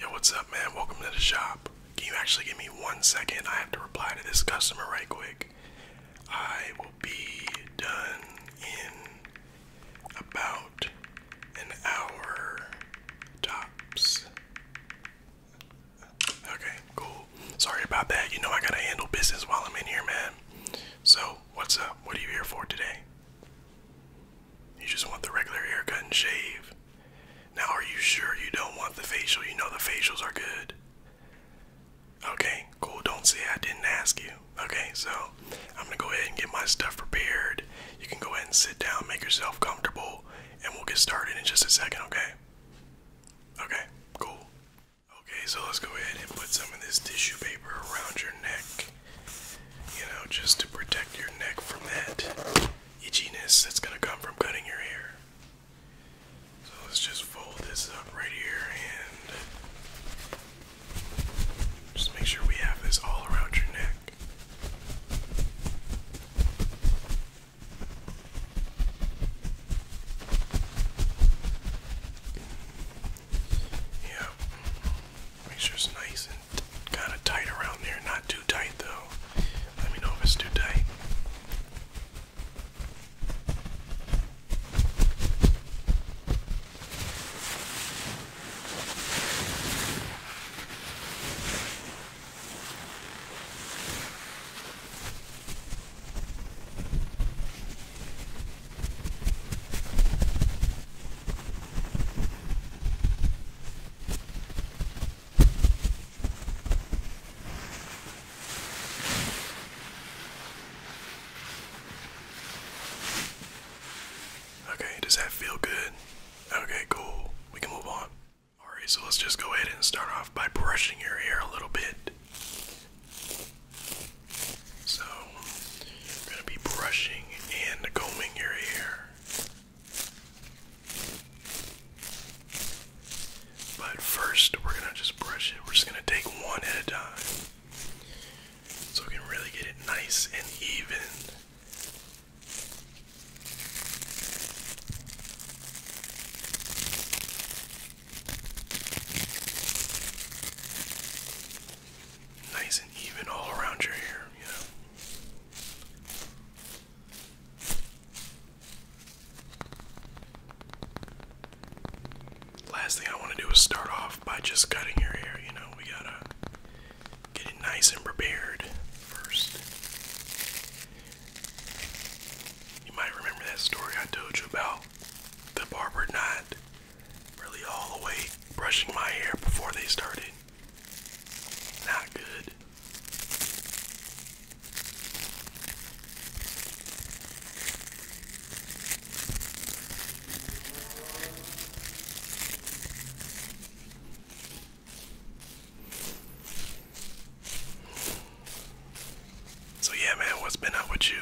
Yo, what's up, man? Welcome to the shop. Can you actually give me one second? I have to reply to this customer right quick. I will be done in about an hour tops. Okay, cool. Sorry about that. You know, I gotta handle business while I'm in here, man. So, what's up? What are you here for today? You just want the regular haircut and shave. Now, are you sure you don't want the facial? You know the facials are good. Okay, cool. Don't say I didn't ask you. Okay, so I'm gonna go ahead and get my stuff prepared. You can go ahead and sit down, make yourself comfortable, and we'll get started in just a second, okay? Okay, cool. Okay, so let's go ahead and put some of this tissue paper around your neck. You know, just to protect your neck from that itchiness that's gonna come from cutting your hair. So let's just fold this up right here and just make sure we have this all around your neck. Yeah, make sure it's nice kind of tight around there. Not too tight though. Let me know if it's too tight. Okay, does that feel good? Okay, cool. We can move on. Alright, so let's just go ahead and start off by brushing your hair a little bit. So, we're going to be brushing and combing your hair. But first, we're gonna just brush it. We're just gonna take one at a time so we can really get it nice and even. Nice and even all around your hair, you know. Last thing I want to do is start off by just cutting your hair. You know, we gotta get it nice and prepared first. You might remember that story I told you about the barber not really all the way brushing my hair before they started. Not good. So yeah, man, what's been up with you?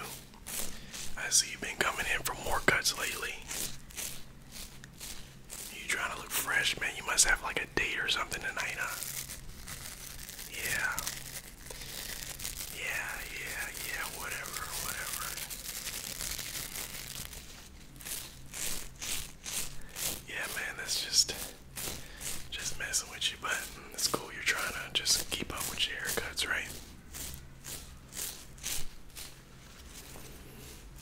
I see you've been coming in for more cuts lately. You trying to look fresh, man? You must have like a date or something tonight, huh? Yeah. Yeah, yeah, yeah, whatever, whatever. Yeah, man, that's just just messing with you, but it's cool. You're trying to just keep up with your haircuts, right?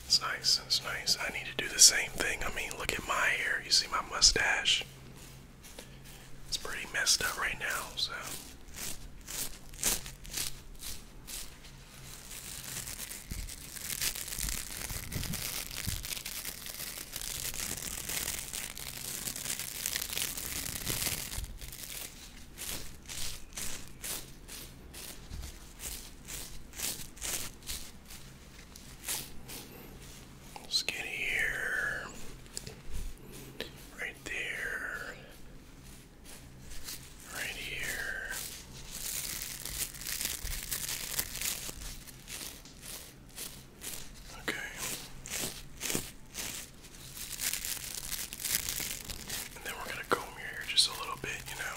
It's nice, it's nice. I need to do the same thing. I mean, look at my hair. You see my mustache? It's pretty messed up right now, so. Let's get here. Right there. Right here. Okay. And then we're gonna comb your hair just a little bit, you know.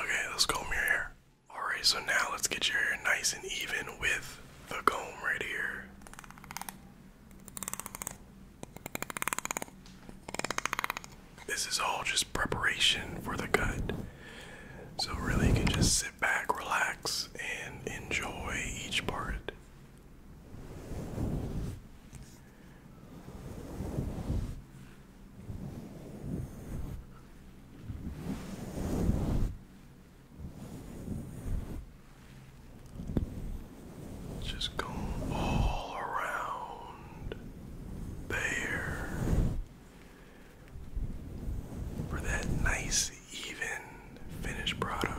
Okay, let's comb your hair. Alright, so now let's get your hair nice and even with the comb right here. This is all just preparation for the cut. So, really, you can just sit back, relax, and enjoy each part. Just go all around there for that nice, even finished product.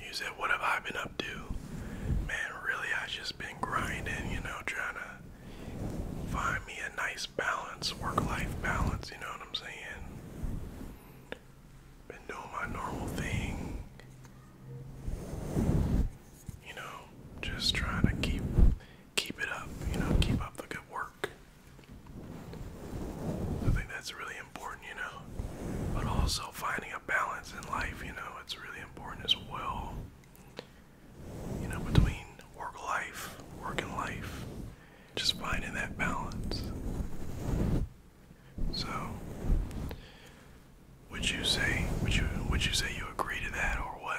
You said, What have I been up to? Man, really, I just been grinding, you know, trying to find me a nice balance, work life balance, you know what I'm saying? Been doing my normal thing you know, just trying to keep keep it up, you know, keep up the good work. I think that's really important, you know. But also finding a balance in life, you know, it's really important as well. You know, between work life, work and life. Just finding that balance. So, would you say would you would you say you agree to that or what?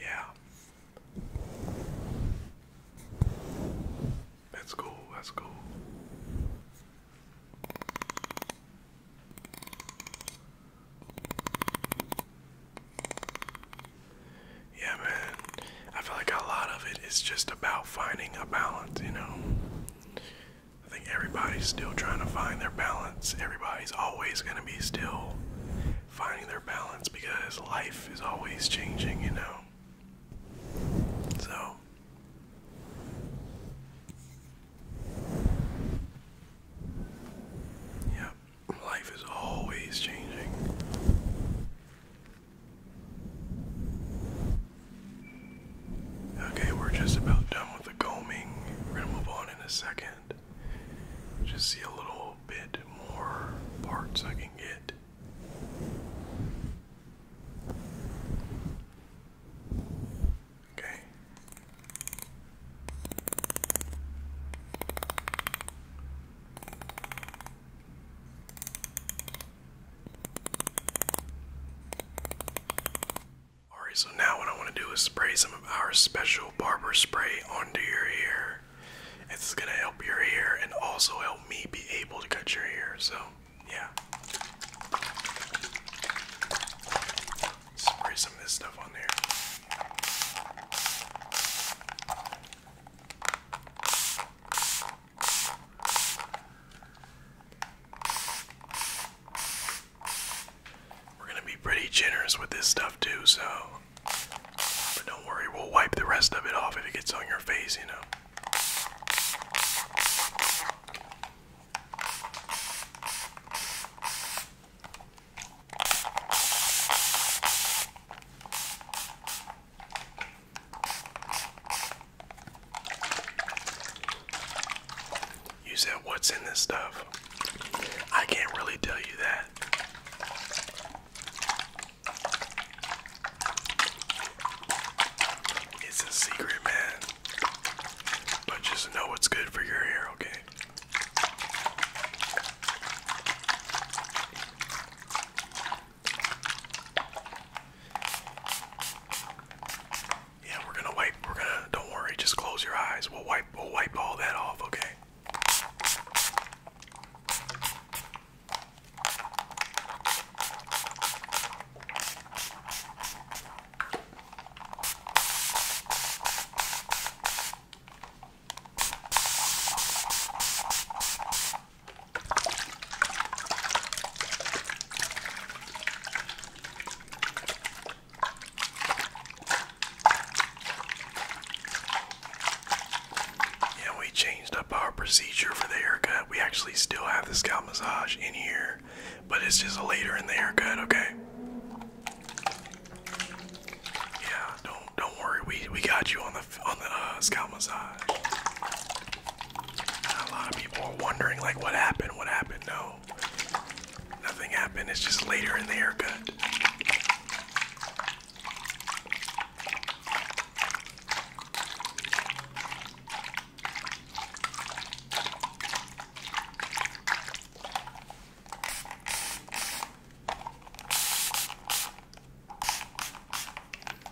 Yeah. That's cool. That's cool. Yeah, man. I feel like a lot of it is just about finding a balance, you know. I think everybody's still trying to find their balance. Everybody's always going to be still finding their balance because life is always changing, you know. So Yep, life is always changing. Okay, we're just about done with the combing. We're gonna move on in a second. Just see a little bit more parts I can get. Okay. Alright, so now what I want to do is spray some of our special barber spray onto your hair. It's gonna help your hair and also help me be able to cut your hair, so yeah. Spray some of this stuff on there. We're going to be pretty generous with this stuff too, so. But don't worry, we'll wipe the rest of it off if it gets on your face, you know. You said what's in this stuff? I can't really tell you that. It's a secret, man. But just know what's good for your hair, okay? Yeah, we're gonna wipe. We're gonna. Don't worry. Just close your eyes. We'll wipe. We'll wipe all that off. Okay. Yeah, we changed up our procedure for the haircut. We actually still have the scalp massage in here, but it's just later in the haircut, okay? Yeah, don't don't worry, we we got you on the on the uh, scalp massage. a lot of people are wondering like, what happened? What happened? No, nothing happened. It's just later in the haircut.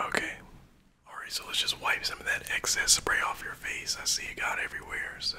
Okay. Alright, so let's just wipe some of that excess spray off your face. I see it got everywhere, so.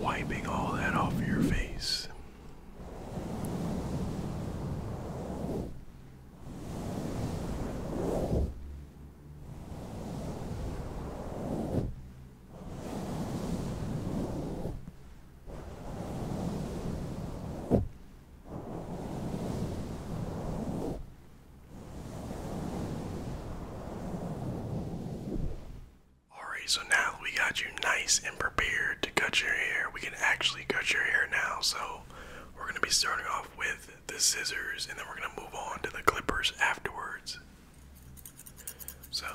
Wiping all that off your face. Alright, so now we got you nice and prepared to cut your hair. We can actually cut your hair now, so we're going to be starting off with the scissors, and then we're gonna move on to the clippers afterwards. So.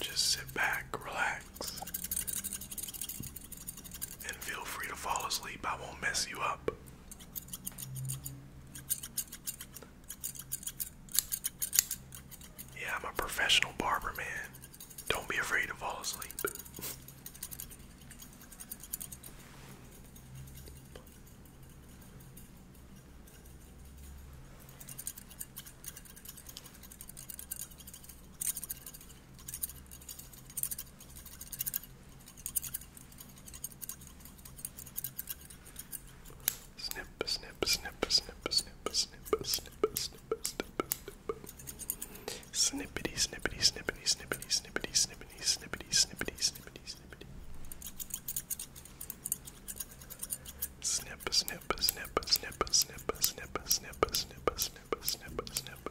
Just sit back, relax, and feel free to fall asleep. I won't mess you up. Yeah, I'm a professional barber, man. Don't be afraid to fall asleep. Snip, snip, snip, snip, snip, snip, snip, snip, Snippity, snippity, snippity, snippity, snippity, snippity, snippity, snippity, snippity, snippity. Snip, snip, snip, snip, snip, snip, snip, snip, snip, snip, snip.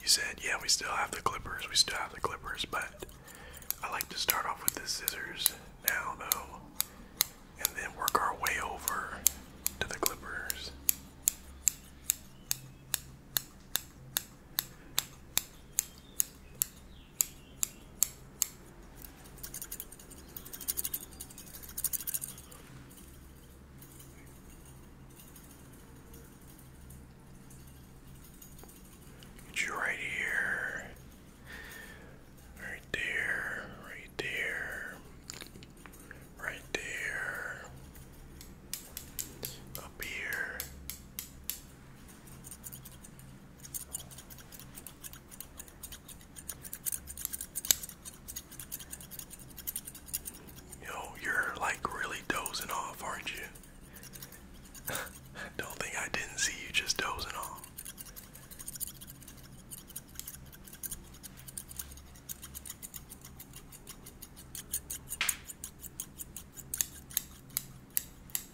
You said, yeah, we still have the clippers, we still have the clippers, but I like to start off with the scissors now, though, and then work our way over to the clippers. Get you right here, right there, right there, right there, up here, Yo, you're like really dozing off, aren't you? Don't think I didn't see you just dozing off.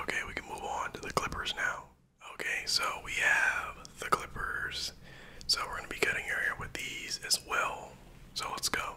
Okay, we can move on to the Clippers now. Okay, so we have the Clippers. So we're going to be cutting your hair with these as well. So let's go.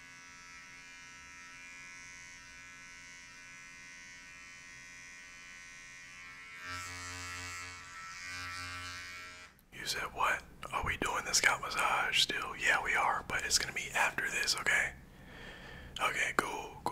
You said what? Are we doing this scalp massage still? Yeah, we are, but it's gonna be after this, okay? Okay, go go.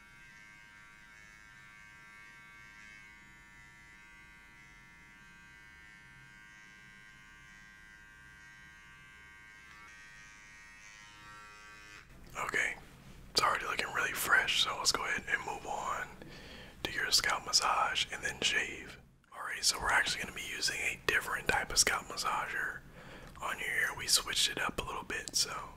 Okay, it's already looking really fresh, so let's go ahead and move on to your scalp massage and then shave. Alright, so we're actually going to be using a different type of scalp massager on your hair. We switched it up a little bit, so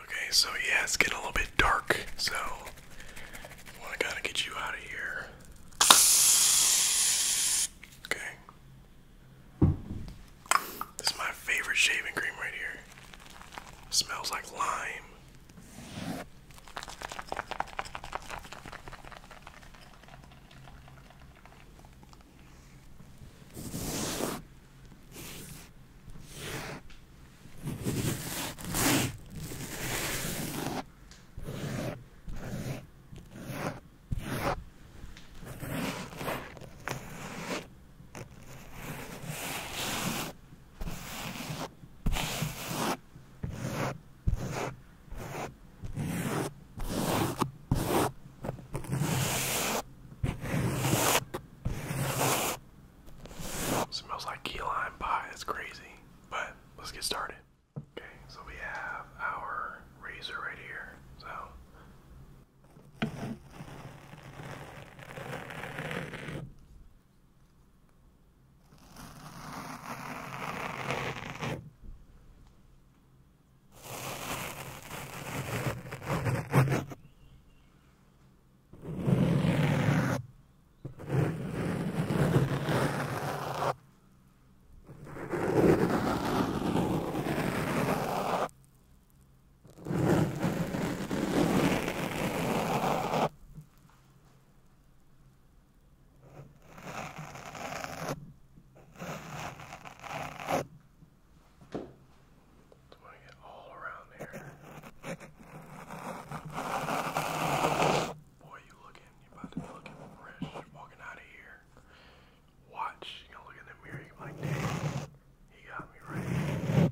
Okay, so yeah, it's getting a little bit dark, so I gotta get you out of here. Okay. This is my favorite shaving cream right here. smells like lime. Smells like key lime pie. It's crazy. But let's get started. Okay, so we have our razor right here. So want to get all around there. Boy, you looking, you about to be looking fresh, walking out of here. Watch, you look in the mirror, you like, dang, he got me right.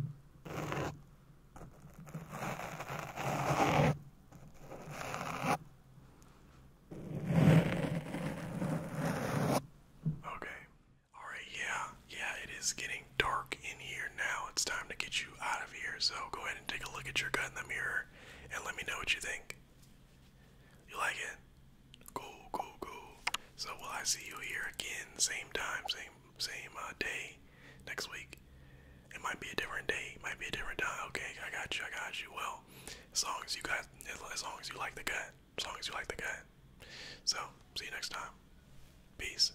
Okay. Alright, yeah, yeah, it is getting dark in here now. It's time to get you out of here. So go ahead and take a look at your gut in the mirror and let me know what you think. You like it? Go, go, go. So will I see you here again, same time, same same uh, day next week? It might be a different day, it might be a different time. Okay, I got you, I got you. Well, as long as you guys, as long as you like the gut, as long as you like the gut. So see you next time. Peace.